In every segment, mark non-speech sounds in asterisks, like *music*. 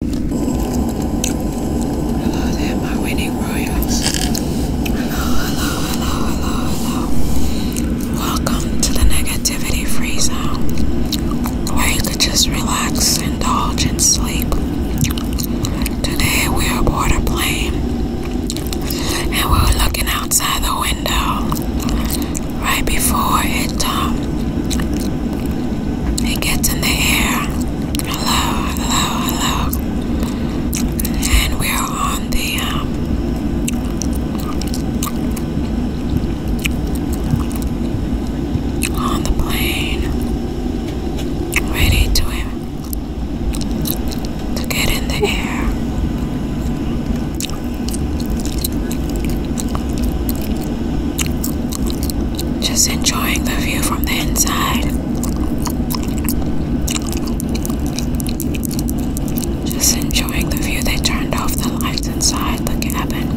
Hello there, my winning royals. Hello, hello, hello, hello, hello. Welcome to the negativity free zone where you can just relax, indulge, and sleep. Today we are aboard a plane and we are looking outside the window right before it um, it gets in the air. Hello, hello, hello. And we're on the um, on the plane, ready to to get in the air. Just enjoying the view from the inside. Just enjoying the view. They turned off the lights inside the cabin.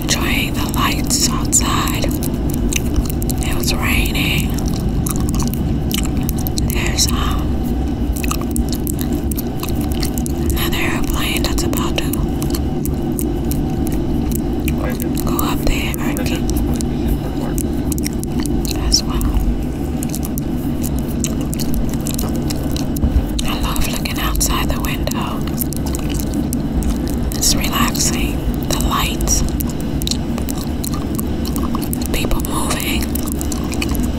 Enjoying the lights outside. It was raining. There's um Another airplane that's about to go up the hierarchy as well. I love looking outside the window. It's relaxing. The lights, people moving.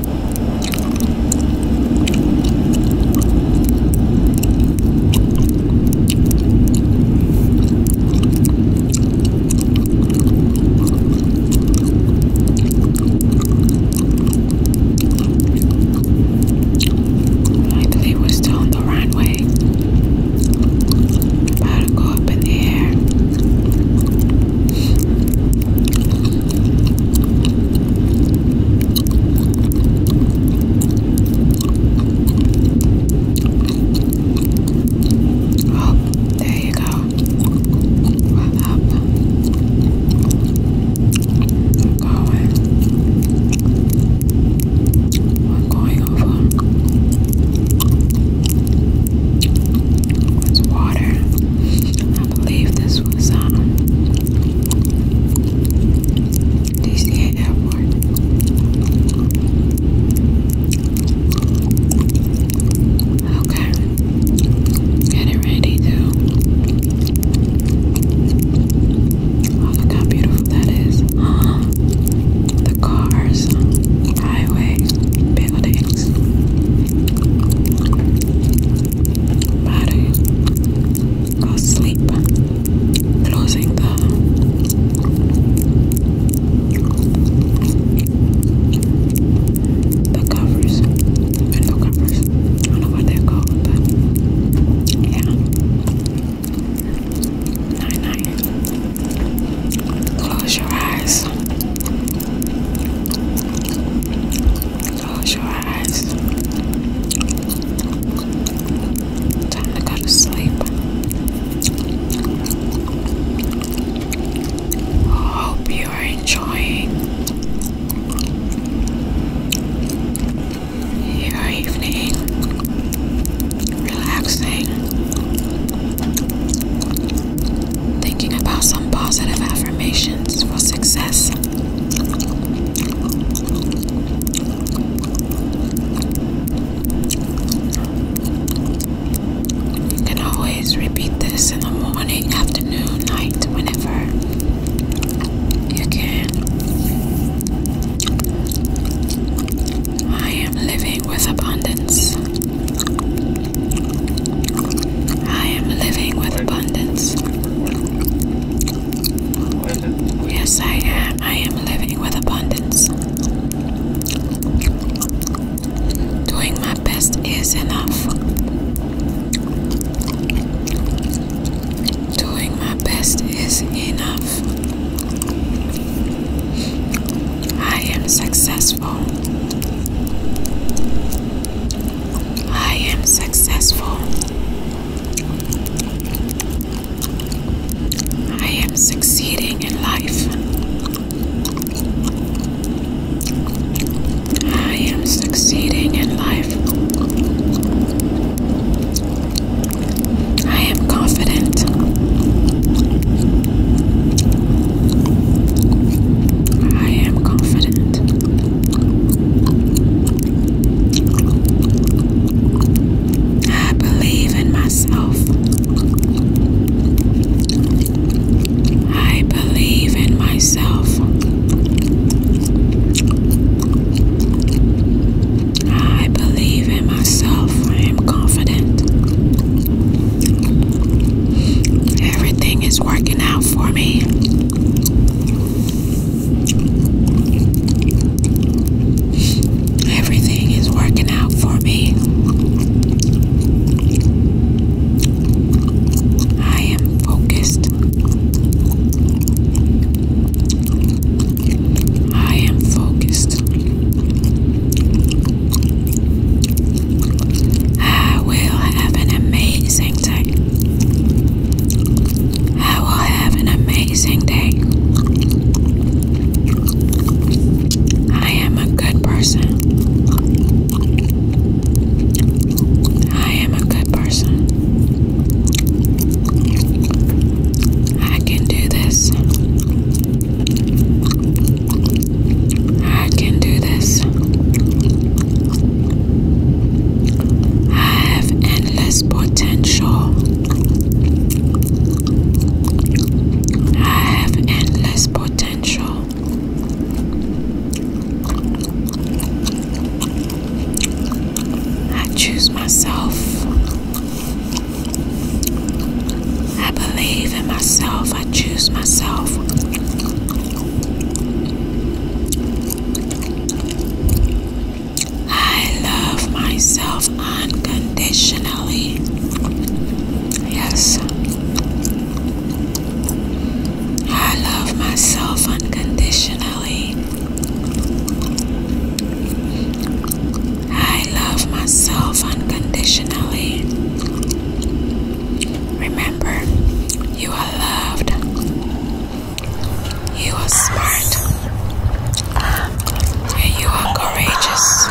I believe we're still on the runway. About to go up in the air. Oh, there you go. up. I'm going. I'm going over. It's water. I believe this was um, do you see an airport? Okay. Get it ready too. Oh, look how beautiful that is. *gasps* the cars, highway, buildings body go sleep closing the the covers and the covers I don't know what they're called but yeah night night close your eyes Close your eyes. Time to go to sleep. Hope you are enjoying your evening, relaxing, Thinking about some positive affirmations for success. You can always repeat this in the morning, afternoon, night, whenever you can. I am living with abundance. I am living with abundance. Yes, I am. I am living with abundance. Doing my best is enough. Doing my best is enough. I am successful. I am successful. I am succeeding in life. I am succeeding in life. I am confident. I am confident. I believe in myself. I believe in myself. I believe in myself. I am confident. Everything is working out for me. Everything is working out for me. I am focused. I am focused. I will have an amazing day. I will have an amazing day. I am a good person. I am a good person. I can do this. I can do this. I have endless potential. I have endless potential. I choose myself. I believe in myself. I choose myself. I love myself unconditionally. Yes. I love myself unconditionally. I love myself unconditionally. Remember, you are loved. You are smart. you are courageous.